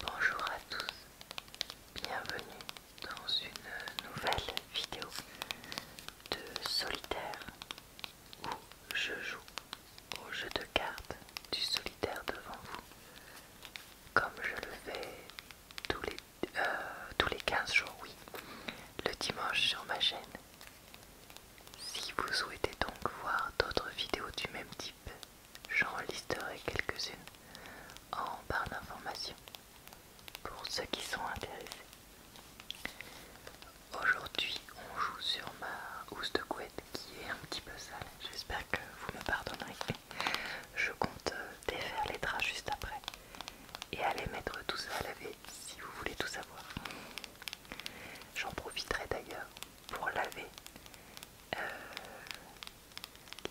Bonjour à tous, bienvenue dans une nouvelle vidéo de solitaire où je joue au jeu de cartes du solitaire devant vous comme je le fais tous les, 15 euh, jours, oui, le dimanche sur ma chaîne. Si vous souhaitez donc voir d'autres vidéos du même type, J'en listerai quelques-unes en barre d'informations pour ceux qui sont intéressés. Aujourd'hui, on joue sur ma housse de couette qui est un petit peu sale. J'espère que vous me pardonnerez. Je compte défaire les draps juste après et aller mettre tout ça à laver si vous voulez tout savoir. J'en profiterai d'ailleurs pour laver euh,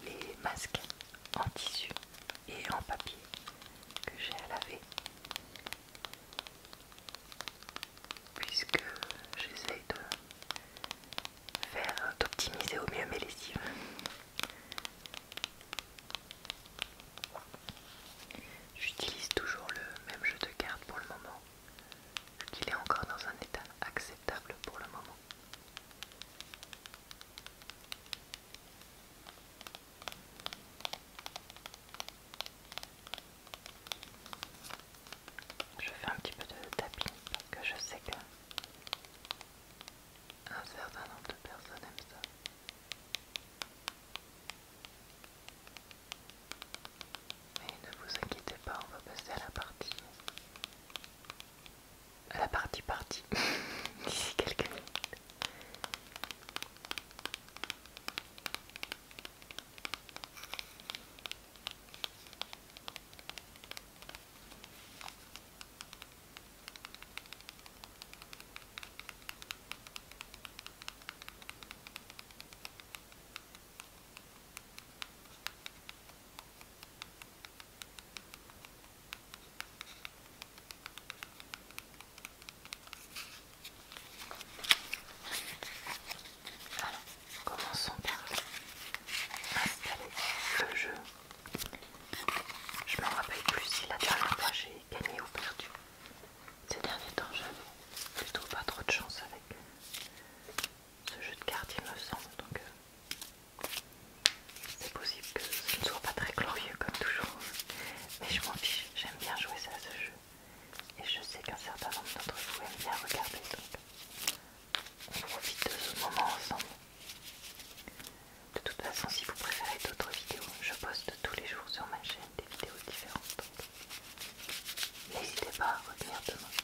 les masques en tissu et en papier que j'ai à laver puisque j'essaye de faire d'optimiser au mieux mes lessives j'utilise toujours le même jeu de cartes pour le moment qu'il est encore dans un état acceptable pour le moment. Je fais un petit peu de tapping parce que je sais que un certain nombre de personnes aiment ça. Mais ne vous inquiétez pas, on va passer à la partie. À la partie partie d'ici quelques minutes. Alors, commençons par installer le jeu. Je me rappelle plus si la dernière fois j'ai gagné ou perdu. Ces derniers temps, j'avais plutôt pas trop de chance avec ce jeu de cartes il me semble donc euh, c'est possible que ce ne soit pas très glorieux comme toujours mais je m'en fiche, j'aime bien jouer à ce jeu et je sais qu'un certain nombre d'entre vous aiment bien regarder donc on profite de ce moment ensemble de toute façon si vous préférez d'autres vidéos je poste tous les jours sur ma chaîne des vidéos différentes donc n'hésitez pas à revenir demain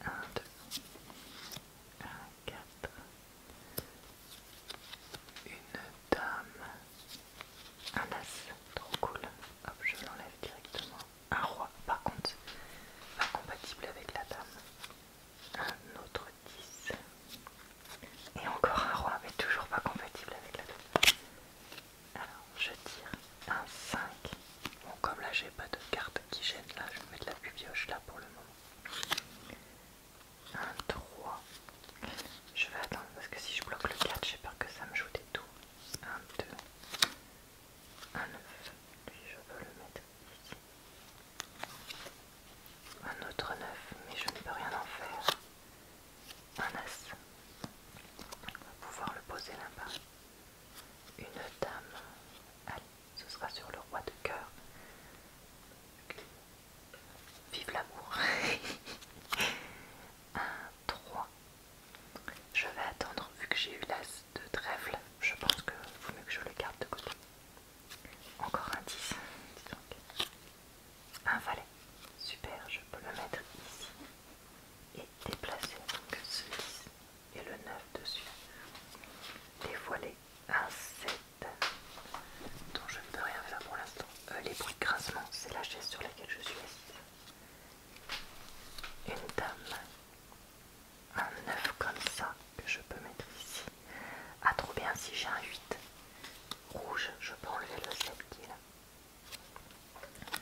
1, 2, 1, 4, une dame, un as, trop cool, hop je l'enlève directement, un roi par contre, pas compatible avec la dame, un autre 10, et encore un roi mais toujours pas compatible avec la dame. Alors je tire un 5, Bon, comme là j'ai pas de carte qui gêne, là je vais mettre la pubioche là pour le moment. 1, 3. Je vais attendre parce que si je bloque le 4, j'ai peur que ça me joue des tours. 1, 2, 1, 9. Lui, je peux le mettre ici. Un autre 9, mais je ne peux rien en faire. Un as. On va pouvoir le poser là-bas une dame. ce sera sur le roi de cœur. Vive l'amour. Un 3. Je vais attendre vu que j'ai eu l'as de trèfle. Je pense que vaut mieux que je le garde de côté. Encore un 10. Un valet. Super, je peux le mettre ici et déplacer donc ce 10 et le 9 dessus, dévoilé un 7 dont je ne peux rien faire pour l'instant. Euh, les bruits de c'est la chaise sur laquelle je suis assise. Une dame, un 9 comme ça que je peux mettre ici. Ah, trop bien, si j'ai un 8 rouge, je peux enlever le 7 qui est là.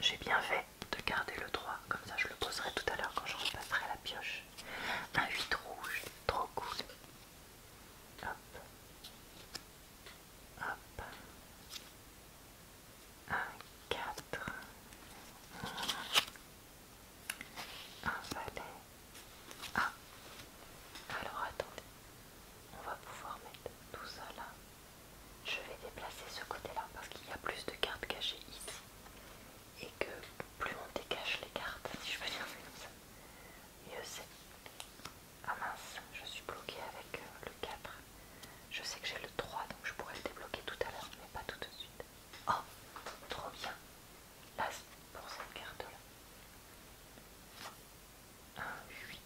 J'ai bien fait de garder le 3, comme ça je le poserai tout à l'heure quand je repasserai la pioche. Un 8 rouge, trop cool. Hop. Hop. Un 4. Un valet. Ah. Alors attendez. On va pouvoir mettre tout ça là. Je vais déplacer ce côté-là parce qu'il y a plus de cartes cachées ici et que plus on dégage les cartes, si je peux dire comme ça, mieux c'est. Ah mince, je suis bloquée avec euh, le 4. Je sais que j'ai le 3 donc je pourrais le débloquer tout à l'heure, mais pas tout de suite. Oh, trop bien! Là, pour cette carte-là. un 8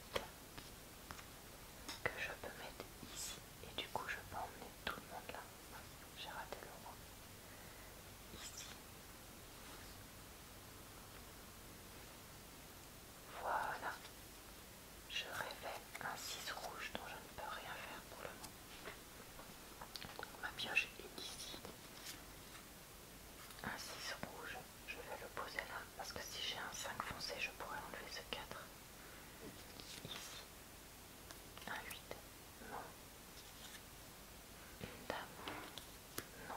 que je peux mettre ici et du coup, je peux emmener tout le monde là. J'ai raté le roi. Ici. Voilà. Je révèle un 6 rouge dont je ne peux rien faire pour le moment. ma pioche est ici. Un 6 rouge, je vais le poser là parce que si j'ai un 5 foncé, je pourrais enlever ce 4. Ici, un 8, non. Une dame, non.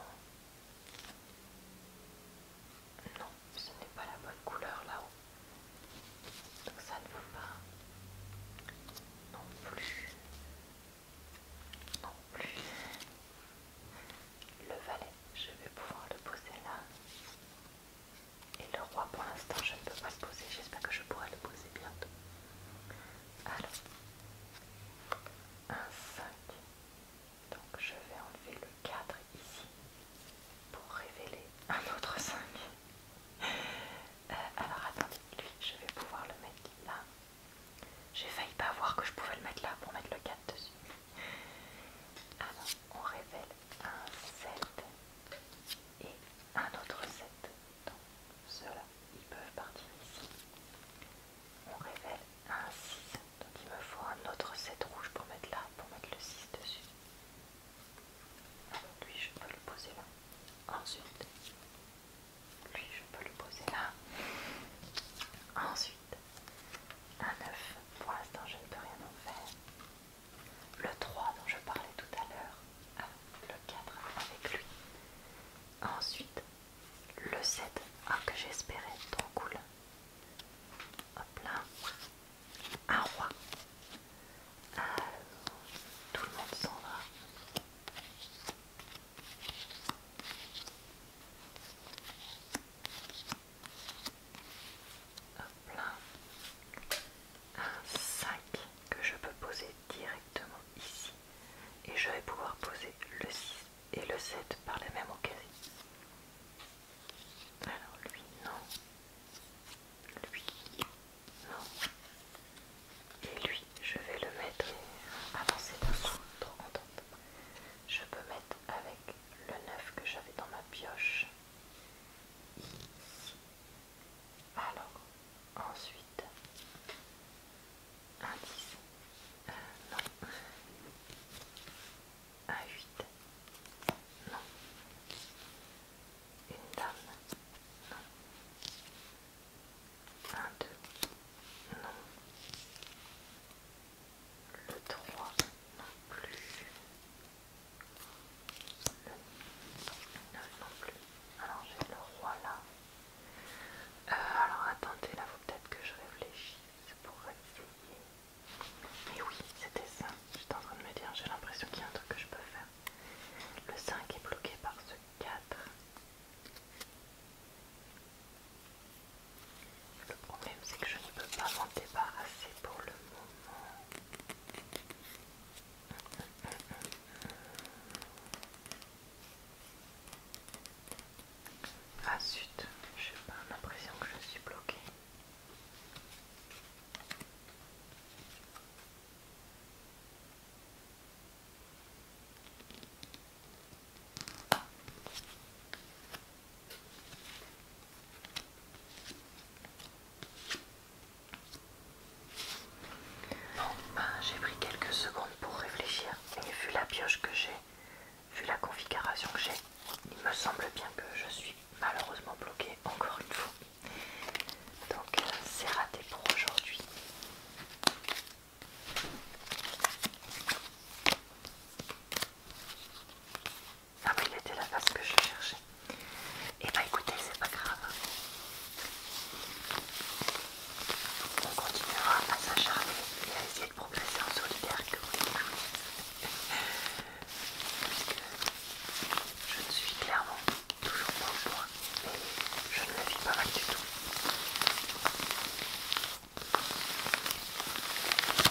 Non, ce n'est pas la bonne couleur là-haut. Donc ça ne vaut pas. Non plus. Non plus. Le valet, je vais pouvoir le poser là. Et le roi, pour l'instant, je ne peux pas le poser. J'espère que je pourrai le poser bientôt. Alors, un 5. Donc, je vais enlever le 4 ici pour révéler un autre 5. Euh, alors, attendez, lui, je vais pouvoir le mettre là. J'ai failli pas voir que je pouvais le mettre là pour mettre le 4 dessus. Alors, on révèle un 7 et un autre 7. Donc ceux-là, ils peuvent partir ici. On révèle un 6. Donc il me faut un autre 7 rouge pour mettre là, pour mettre le 6 dessus. lui, je peux le poser là. Ensuite, lui, je peux le poser là. Ensuite, un 9. Pour l'instant, je ne peux rien en faire le 3 dont je parlais tout à l'heure, ah, le 4 avec lui. Ensuite, le 7, que j'espérais, trop cool. Hop là, un roi. Euh, tout le monde s'en va. Un 5 que je peux poser directement ici. Et je vais pouvoir poser le 6 et le 7 par la même occasion. Alors lui, non. Lui, non. Et lui, je vais le mettre. Avancez, Je peux mettre avec le 9 que j'avais dans ma pioche. Alors, ensuite, un 10, euh, non, un 8, non, une dame, non, un 2, non, le 3, non plus. Le 9 non plus. Alors j'ai le roi là. Euh, alors attendez, là faut peut-être que je réfléchisse pour essayer. Mais oui, c'était ça. J'étais en train de me dire, j'ai l'impression qu'il y a un truc que je peux faire. Le 5 est bloqué par ce 4. Le problème c'est que je ne peux pas m'en débarrasser pour le moment. Ah suite, j'ai pas, l'impression que je suis bloquée. Bon, ben, j'ai pris quelques secondes pour réfléchir, mais vu la pioche que j'ai, vu la configuration que j'ai, il me semble bien que je suis malheureusement bloquée encore une fois. Donc euh, c'est raté pour aujourd'hui. Ah mais il était la face que je cherchais. Et eh bah ben, écoutez, c'est pas grave. On continuera à s'acharner et à essayer de progresser en solitaire que je ne suis clairement toujours pas au point et je ne le vis pas mal du tout.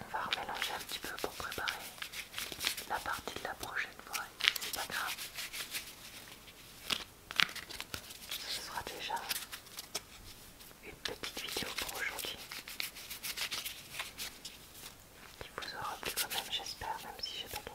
On va remélanger un petit peu pour préparer la partie de la prochaine fois, c'est pas grave. Ce sera déjà une petite vidéo pour aujourd'hui qui vous aura plu quand même, j'espère, même si j'ai pas gagné.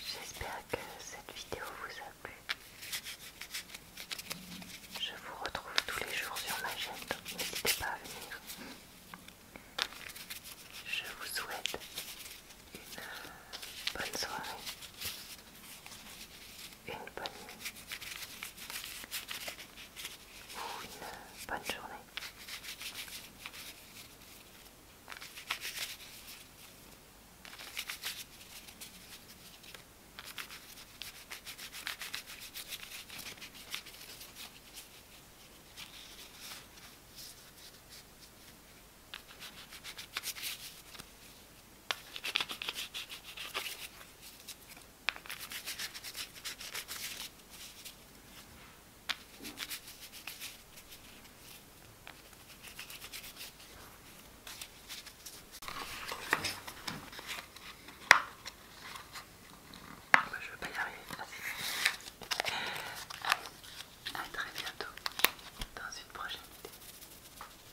J'espère que cette vidéo vous a plu. Je vous retrouve tous les jours sur ma chaîne, donc n'hésitez pas à venir. Je vous souhaite une bonne soirée une bonne nuit ou une bonne journée. Bah, je ne vais pas y arriver. à très bientôt dans une prochaine vidéo.